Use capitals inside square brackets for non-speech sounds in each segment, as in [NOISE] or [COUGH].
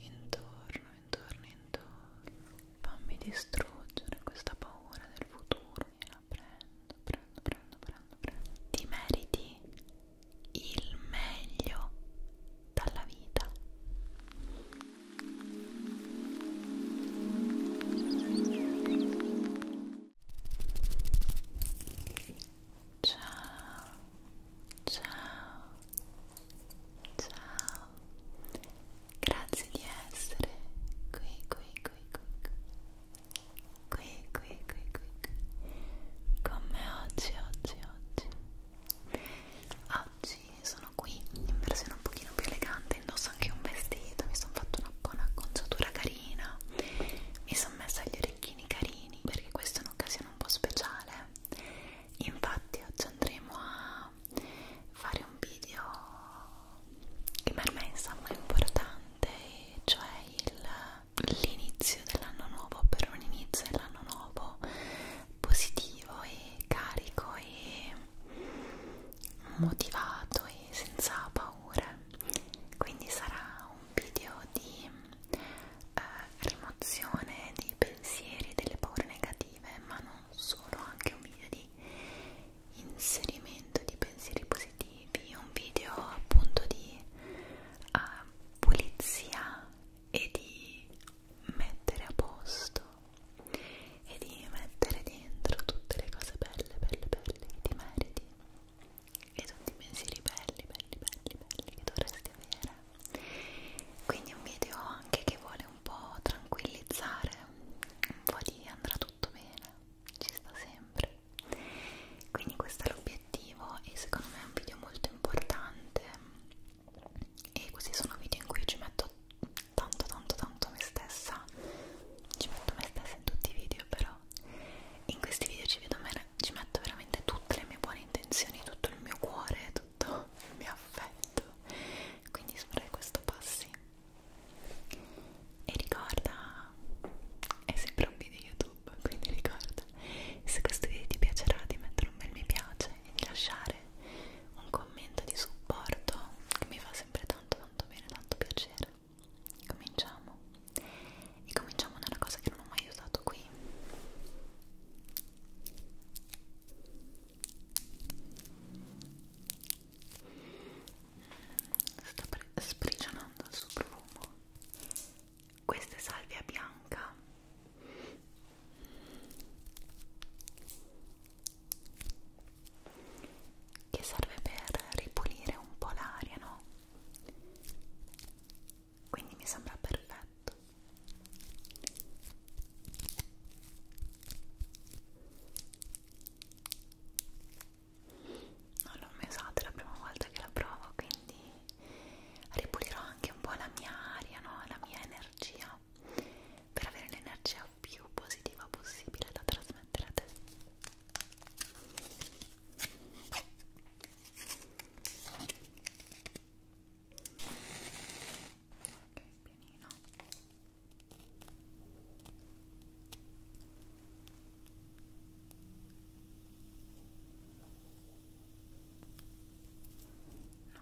Intorno, intorno, intorno. Fammi distruggere questa paura del futuro. Gliela prendo, prendo, prendo, prendo, prendo. Ti meriti il meglio dalla vita. Ciao, ciao ciao grazie di essere qui qui qui qui qui qui qui qui qui con me oggi oggi oggi oggi sono qui in versione un pochino più elegante indosso anche un vestito mi sono fatto una buona conciatura carina mi sono messa gli orecchini carini perché questa è un'occasione un po' speciale infatti oggi andremo a fare un video che per me insomma è importante cioè l'inizio dell'anno nuovo per un inizio dell'anno nuovo positivo e carico e motivato e senza paure quindi sarà un video di eh, rimozione di pensieri e delle paure negative, ma non solo, anche un video di inserimento di pensieri positivi, un video appunto di eh, pulizia e di mettere a posto e di mettere dentro tutte le cose belle, belle, belle che ti meriti e tutti i pensieri belli, belli, belli, belli che dovresti avere quindi un video anche che vuole un po' tranquillizzare un po' di andrà tutto bene ci sta sempre quindi questo è l'obiettivo e secondo me è un video molto importante e questi sono video in cui ci metto tanto tanto tanto me stessa ci metto me stessa in tutti i video però in questi video ci, vedo, ci metto veramente tutte le mie buone intenzioni tutto il mio cuore tutto tutto il [LAUGHS] mio affetto quindi spray questo passi e ricorda è sempre un video youtube quindi ricorda se questo video ti piacerà di mettere un bel mi piace e di lasciare un commento di supporto che mi fa sempre tanto tanto bene tanto piacere cominciamo e cominciamo da una cosa che non ho mai usato qui sta sprigionando il suo profumo questa è salvia bianca che serve per ripulire un po' l'aria no? quindi mi sembra perfetto non l'ho mai usata la prima volta che la provo quindi ripulirò anche un po' la mia aria no? la mia energia per avere l'energia più positiva possibile da trasmettere a te ok pianino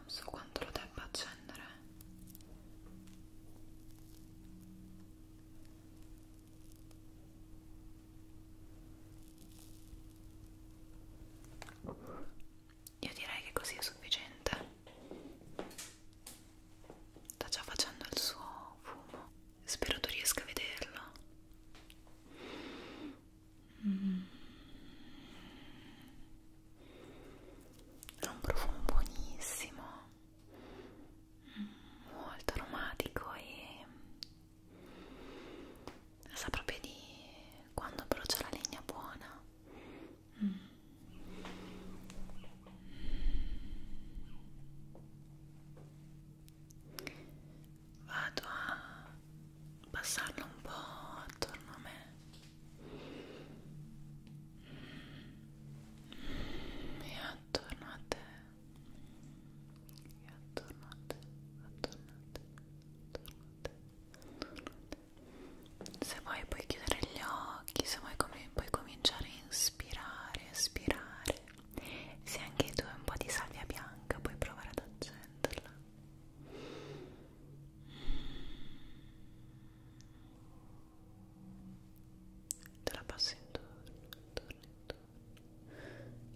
non so quanto lo debba accendere io direi che così è sufficiente. Sta già facendo il suo fumo. Spero tu riesca a vederlo. Mm. Ha un profumo buonissimo, molto aromatico e sa proprio di quando brucia la legna buona mm. vado a passarlo un po' attorno a me mm. e attorno a te e attorno a te attorno a te attorno a te se vuoi puoi chiudere gli occhi se vuoi com puoi cominciare a inspirare espirare se anche tu hai un po' di salvia bianca puoi provare ad accenderla te la passo intorno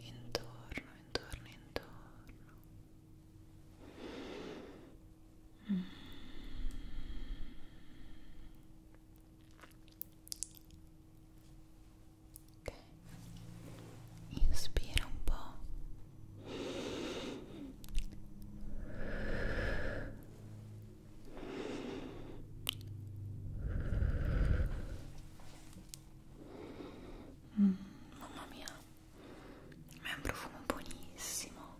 intorno intorno intorno intorno intorno Ok, inspira un po'. Mm, mamma mia ma è un profumo buonissimo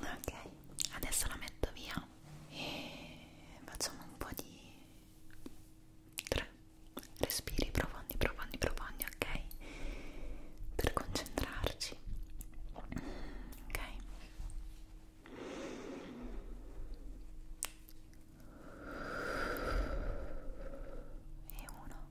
ok adesso la metto via e facciamo un po' di tre respiri profondi profondi profondi ok per concentrarci ok e uno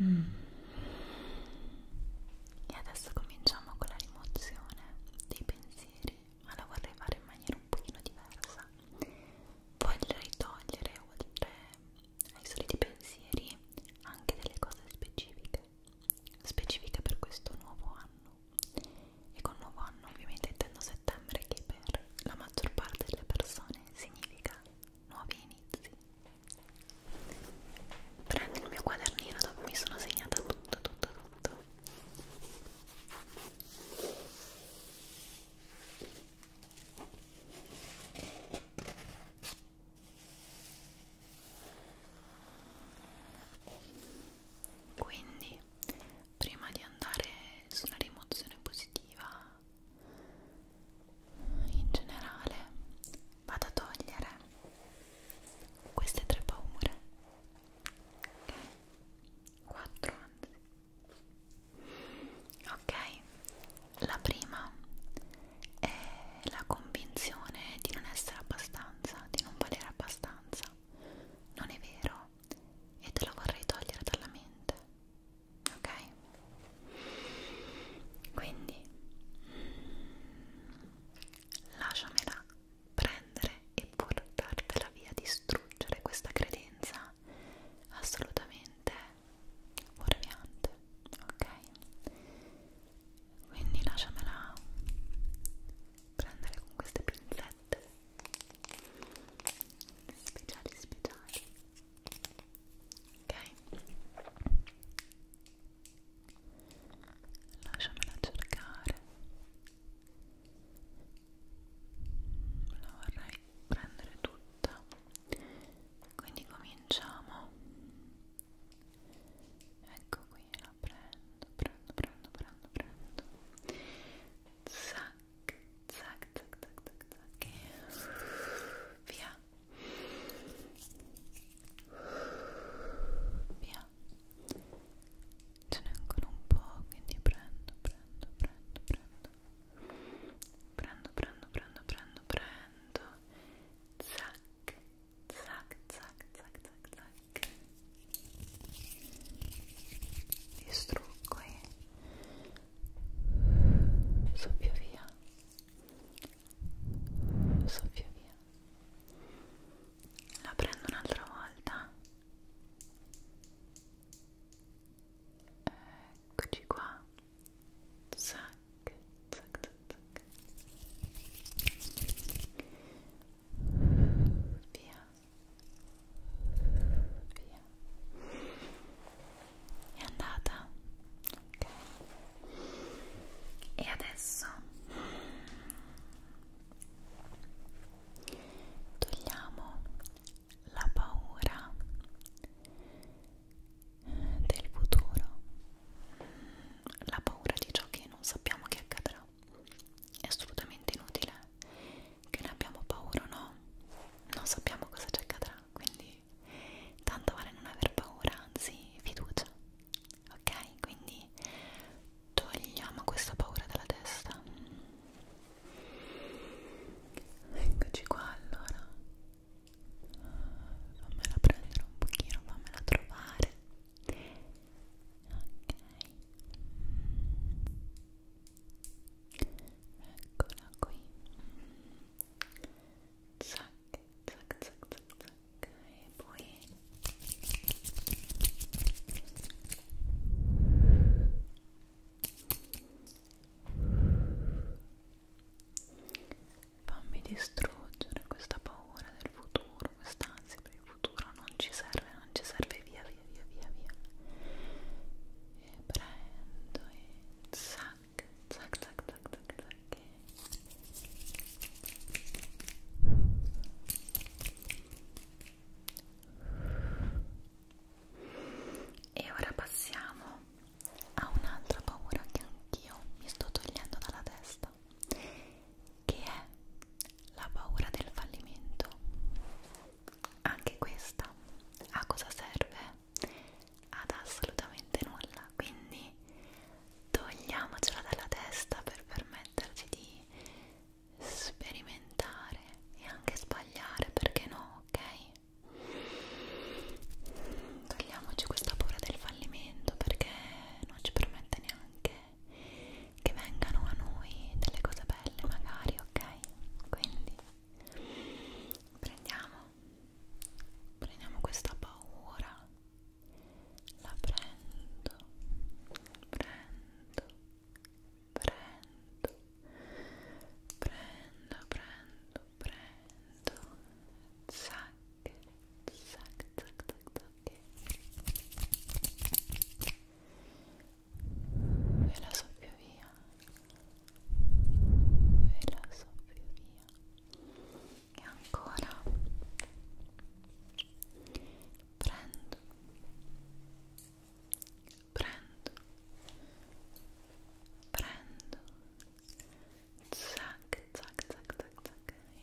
Mm. E adesso cominciamo con la rimozione dei pensieri pensieri, ma la vorrei fare in maniera un pochino diversa. Vorrei togliere, oltre ai soliti pensieri, anche delle cose specifiche, specifiche per questo nuovo anno. E con nuovo anno ovviamente intendo settembre che per la maggior parte delle persone significa nuovi inizi. Prendo il mio quadernino dove mi sono segnata tutto, tutto, tutto fatto quindi prima di andare sulla rimozione positiva in generale vado a togliere queste tre paure ok quattro anzi ok la prima è la convinzione di non essere abbastanza di non valere abbastanza non è vero e te la vorrei togliere dalla mente ok quindi mm, lasciamela prendere e portartela via, distruggere questa credenza assolutamente fuorviante, ok? Quindi lasciamela prendere con queste pinzette speciali speciali ok lasciamela cercare la vorrei prendere tutta quindi cominciamo ecco qui la prendo prendo prendo prendo prendo zac zac zac zac zac zac e via via ce n'è ancora un po' quindi prendo prendo prendo prendo prendo prendo prendo prendo prendo zac zac zac zac zac zac distruggo e soffio via soffio via la prendo un'altra volta eccoci qua zac, zac, zac, zac. via via è andata ok e adesso togliamo la paura del futuro la paura di ciò che non sappiamo che accadrà è assolutamente inutile che ne abbiamo paura o no non sappiamo cosa ci accadrà quindi tanto vale non aver paura anzi fiducia ok? Quindi togliamo questa paura dalla testa. Eccoci qua allora. Fammela prendere un pochino, fammela trovare. Ok. Eccola qui. Zac, zac, zac, zac, zac. Ok, poi fammi distruggere questa paura del futuro, quest'ansia per il futuro non ci serve, non ci serve via via via via via e prendo e zac zac zac zac zac zac e e ora passiamo a un'altra paura che anch'io mi sto togliendo dalla testa, che è la paura del fallimento. Anche questa a cosa serve? Ad assolutamente nulla, quindi togliamocela dalla testa per permetterci di sperimentare e anche sbagliare, perché no, ok? Togliamoci questa paura del fallimento perché non ci permette neanche che vengano a noi delle cose belle, magari, ok? Quindi prendiamo prendiamo questa paura la prendo, prendo, prendo, prendo, prendo, prendo, zac, zac, zac, zac, e la soffio via, e la soffio via e ancora prendo prendo prendo zac zac zac zac zac e...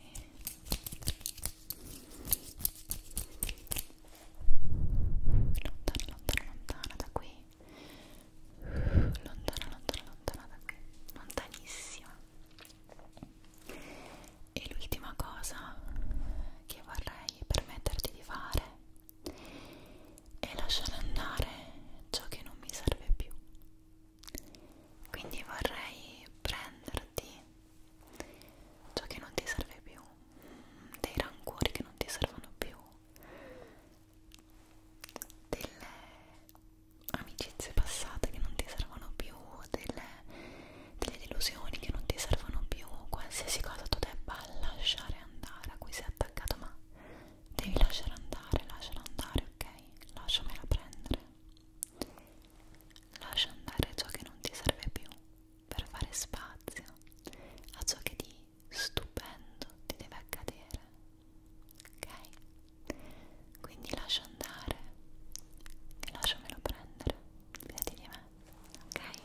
lontana lontana lontana da qui lontana lontana lontana da qui lontanissima e l'ultima cosa che vorrei permetterti di fare è lasciare andare ciò che non mi serve più. Quindi vorrei prenderti ciò che non ti serve più, dei rancori che non ti servono più, delle amicizie passate che non ti servono più, delle, delle delusioni che non ti servono più, qualsiasi cosa tu debba lasciare andare, a cui sei attaccato, ma devi lasciare andare, lasciala andare, ok? Lasciamela prendere. Lascia andare ciò che non ti serve più per fare spazio a ciò che di stupendo ti deve accadere, ok? quindi lascia andare e lasciamelo prendere fidati di me ok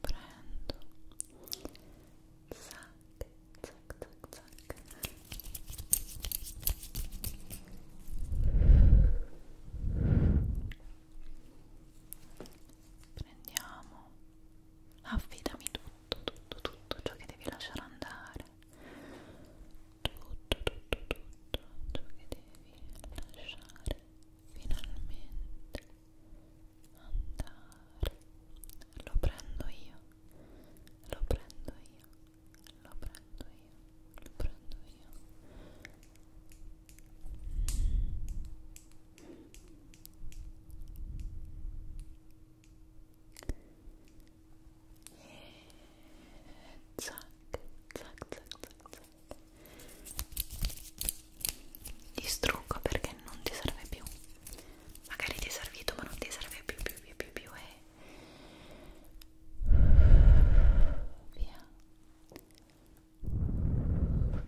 prendo prendo prendo zac zac zac zac prendiamo affidami tutto tutto tutto ciò che devi lasciare andare tutto tutto tutto ciò che devi lasciare finalmente andare lo prendo io lo prendo io lo prendo io lo prendo io zac, zac, zac, zac, zac. distruggo perché non ti serve più magari ti è servito ma non ti serve più più più più più e eh. via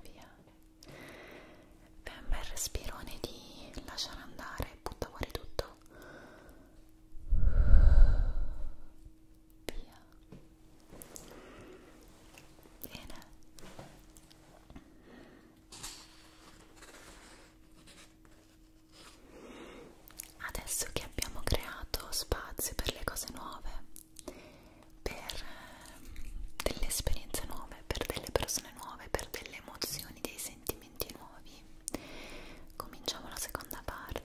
Viale. Beh, un bel respirone di lasciare andare, butta fuori tutto. Via. Bene. Adesso che abbiamo creato spazio per le cose nuove, per ehm, delle esperienze nuove, per delle persone nuove, per delle emozioni, dei sentimenti nuovi. Cominciamo la seconda parte.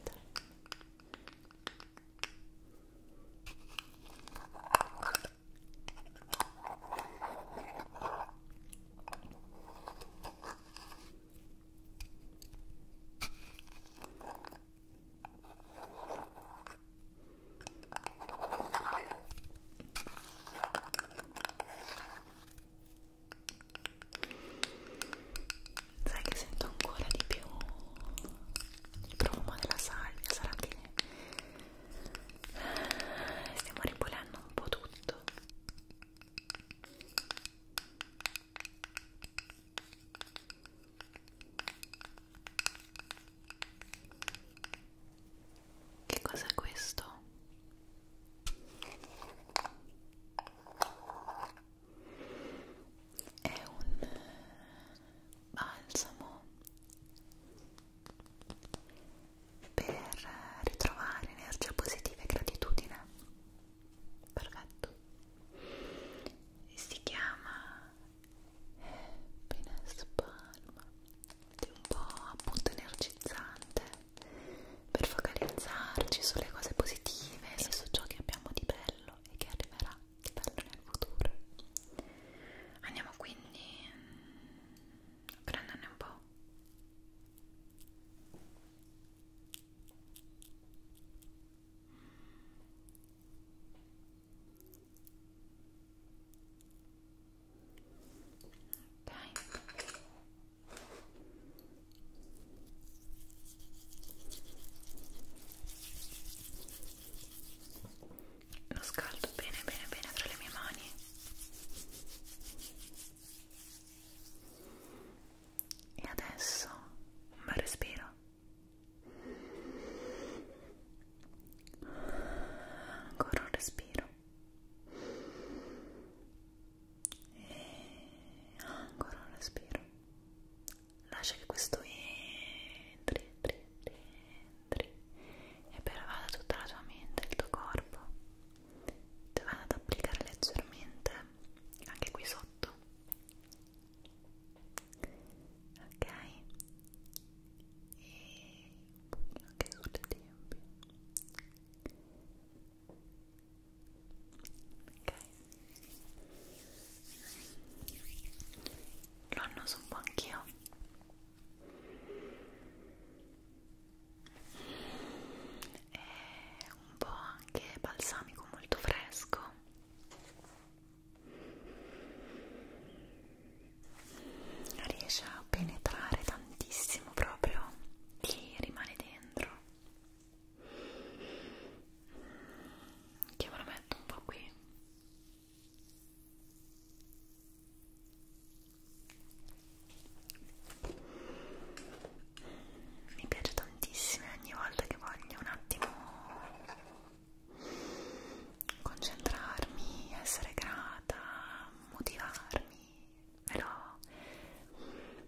Sai che sento ancora di più il profumo della salvia, sarà che stiamo ripulendo un po' tutto. Che cos'è questo? È un balsamo per ritrovare energia positiva e gratitudine. Perfetto. Si chiama appena spalma è un po' appunto energizzante per focalizzarci sulle cose positive e su ciò che abbiamo di bello e che arriverà di bello nel futuro andiamo quindi a mm, prenderne un po' Lo scaldo bene bene bene tra le mie mani e adesso un bel respiro ancora un respiro e ancora un respiro lascia che questo entri entri entri e pervada tutta la tua mente il tuo corpo ti vado ad applicare leggermente anche qui sotto ok e anche sulle tempie ok lo annoso un po' anch'io è un po' anche balsamico molto fresco riesce a penetrare tantissimo proprio ti rimane dentro che me lo metto un po' qui mi piace tantissimo e ogni volta che voglio un attimo concentrarmi, essere grata, motivarmi, me lo,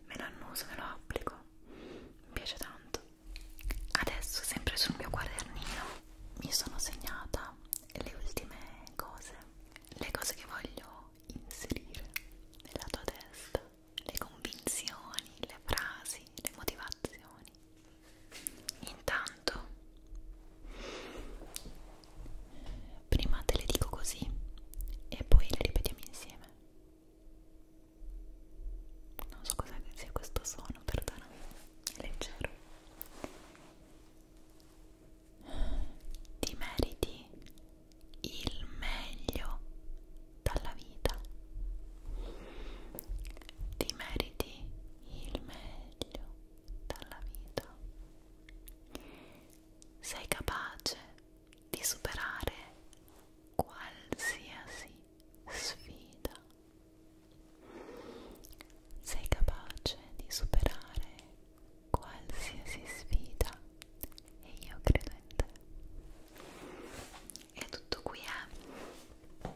me lo annuso, me lo applico, mi piace tanto. Adesso, sempre sul mio quadernino, mi sono segnata le ultime cose, le cose che voglio inserire nella tua testa, le convinzioni, le frasi, le motivazioni emozioni. Intanto, prima te le dico così e poi le ripetiamo insieme. Non so cosa sia questo suono, perdonami, è leggero. Ti meriti il meglio dalla vita ti meriti il meglio dalla vita. Sei capace di superare qualsiasi sfida. Sei capace di superare qualsiasi sfida e io credo in te è tutto qui eh?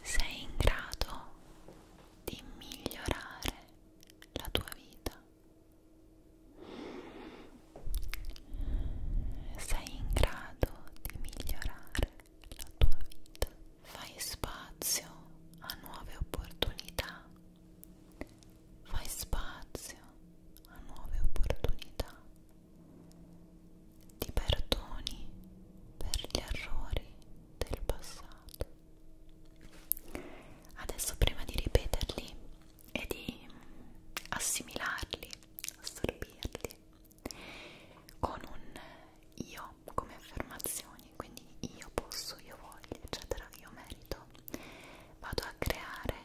sei in grado di migliorare la tua vita sei in grado di migliorare la tua vita fai spazio a nuove opportunità fai spazio a nuove opportunità ti perdoni per gli errori del passato. Adesso prima di ripeterli e di assimilarli, assorbirli, con un io come affermazioni, quindi io posso, io voglio, eccetera, io merito, vado a creare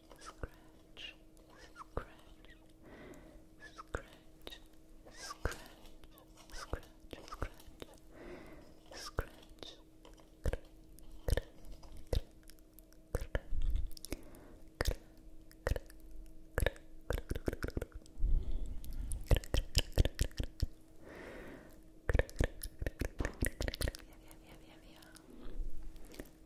scratch, scratch, scratch, scratch, scratch, scratch, yeah, yeah, yeah, yeah, yeah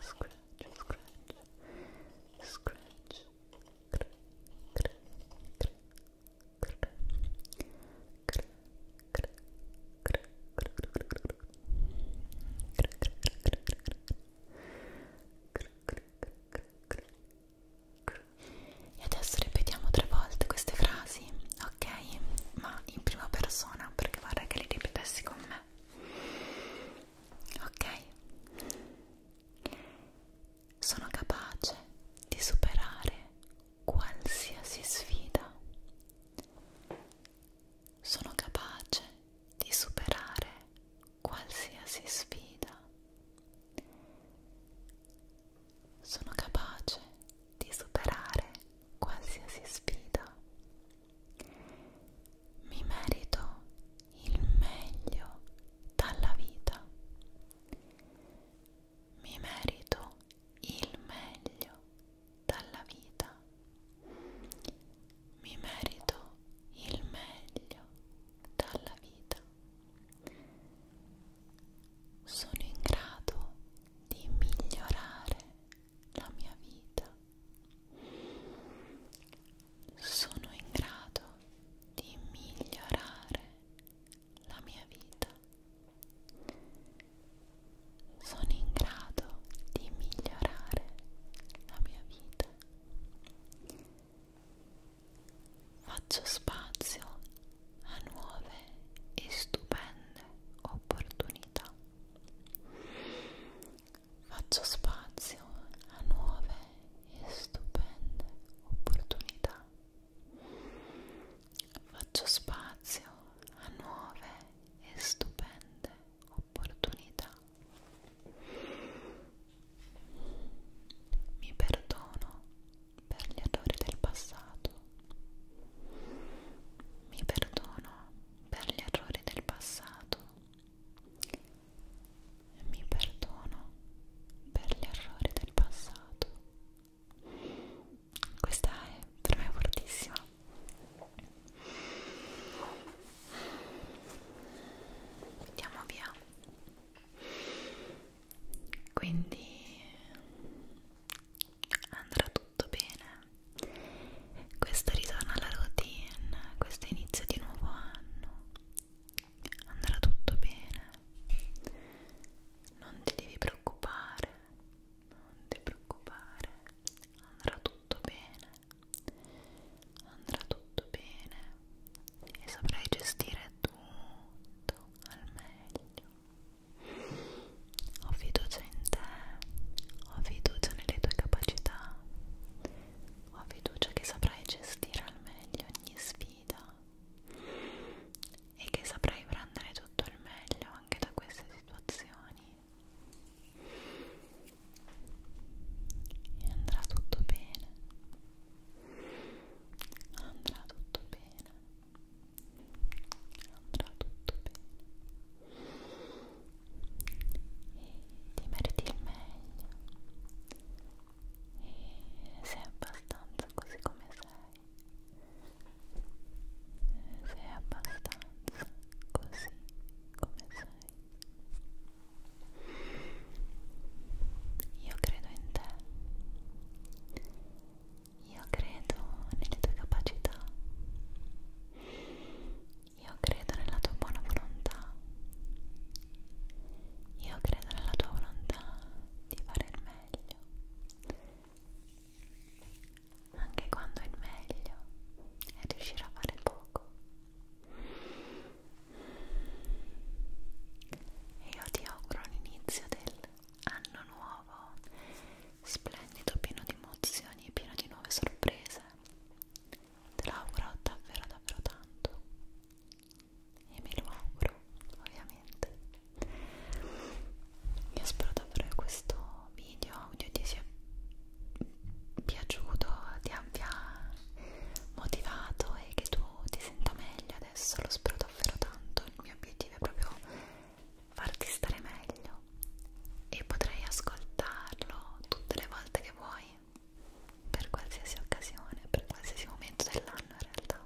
scratch, scratch, scratch, cr, cr, cr, cr, cr, cr, cr, cr, e adesso ripetiamo tre volte queste frasi, ok? Ma in prima persona perché vorrei che le ripetessi con me ok? Sono capace di superare qualsiasi sfida. Sono capace di superare qualsiasi sfida. Sono capace di superare qualsiasi sfida. Mi merito il meglio dalla vita. Mi merito il meglio dalla vita. Mi merito il meglio dalla vita. Sono in grado di migliorare la mia vita sono in grado di migliorare la mia vita sono in grado di migliorare la mia vita faccio spazio a nuove e stupende opportunità Faccio spazio a nuove e stupende opportunità. Faccio spazio a nuove e stupende opportunità. Mi perdono per gli errori del passato. Mi perdono per gli errori del passato. Mi perdono per gli errori del passato. Questa è per me fortissima. Andiamo via. Quindi andrà tutto bene questo ritorno alla routine, questo inizio di nuovo anno andrà tutto bene non ti devi preoccupare non ti preoccupare andrà tutto bene andrà tutto bene e saprai gestire tutto al meglio ho fiducia in te ho fiducia nelle tue capacità ho fiducia che saprai gestire al meglio ogni sfida e che saprai prendere tutto il meglio anche da queste situazioni. E andrà tutto bene. Andrà tutto bene. Andrà tutto bene e ti meriti il meglio e sei abbastanza così come sei sei abbastanza così come sei io credo in te io credo nelle tue capacità io credo nella tua buona volontà. Io credo nella tua volontà di fare il meglio. Anche quando il meglio è riuscire a fare poco. E io ti auguro l'inizio dell'anno nuovo, splendido, pieno di emozioni, pieno di nuove sorprese te lo auguro davvero davvero tanto e me lo auguro ovviamente io spero davvero che questo video audio ti sia piaciuto ti abbia motivato e che tu ti senta meglio adesso lo spero davvero tanto il mio obiettivo è proprio farti stare meglio e potrai ascoltarlo tutte le volte che vuoi per qualsiasi occasione, per qualsiasi momento dell'anno in realtà.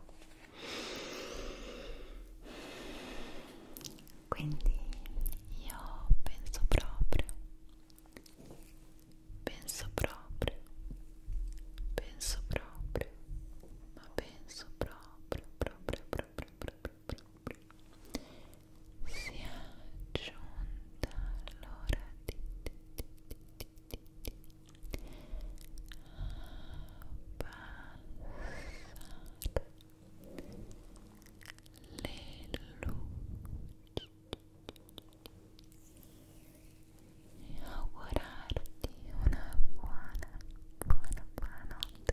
Quindi io penso proprio, penso proprio, penso proprio, ma penso proprio, proprio, proprio, proprio, proprio, proprio si è giunta l'ora di, di, di, di, di, di abbassare le luci e augurarti una buona buona buona notte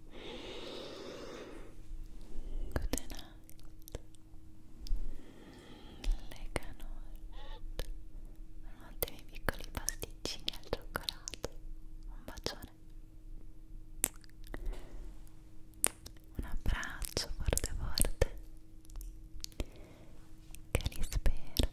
Good night. Lega Nord. Buonanotte miei piccoli pasticcini al cioccolato. Un bacione. Un abbraccio forte forte. Che li spero.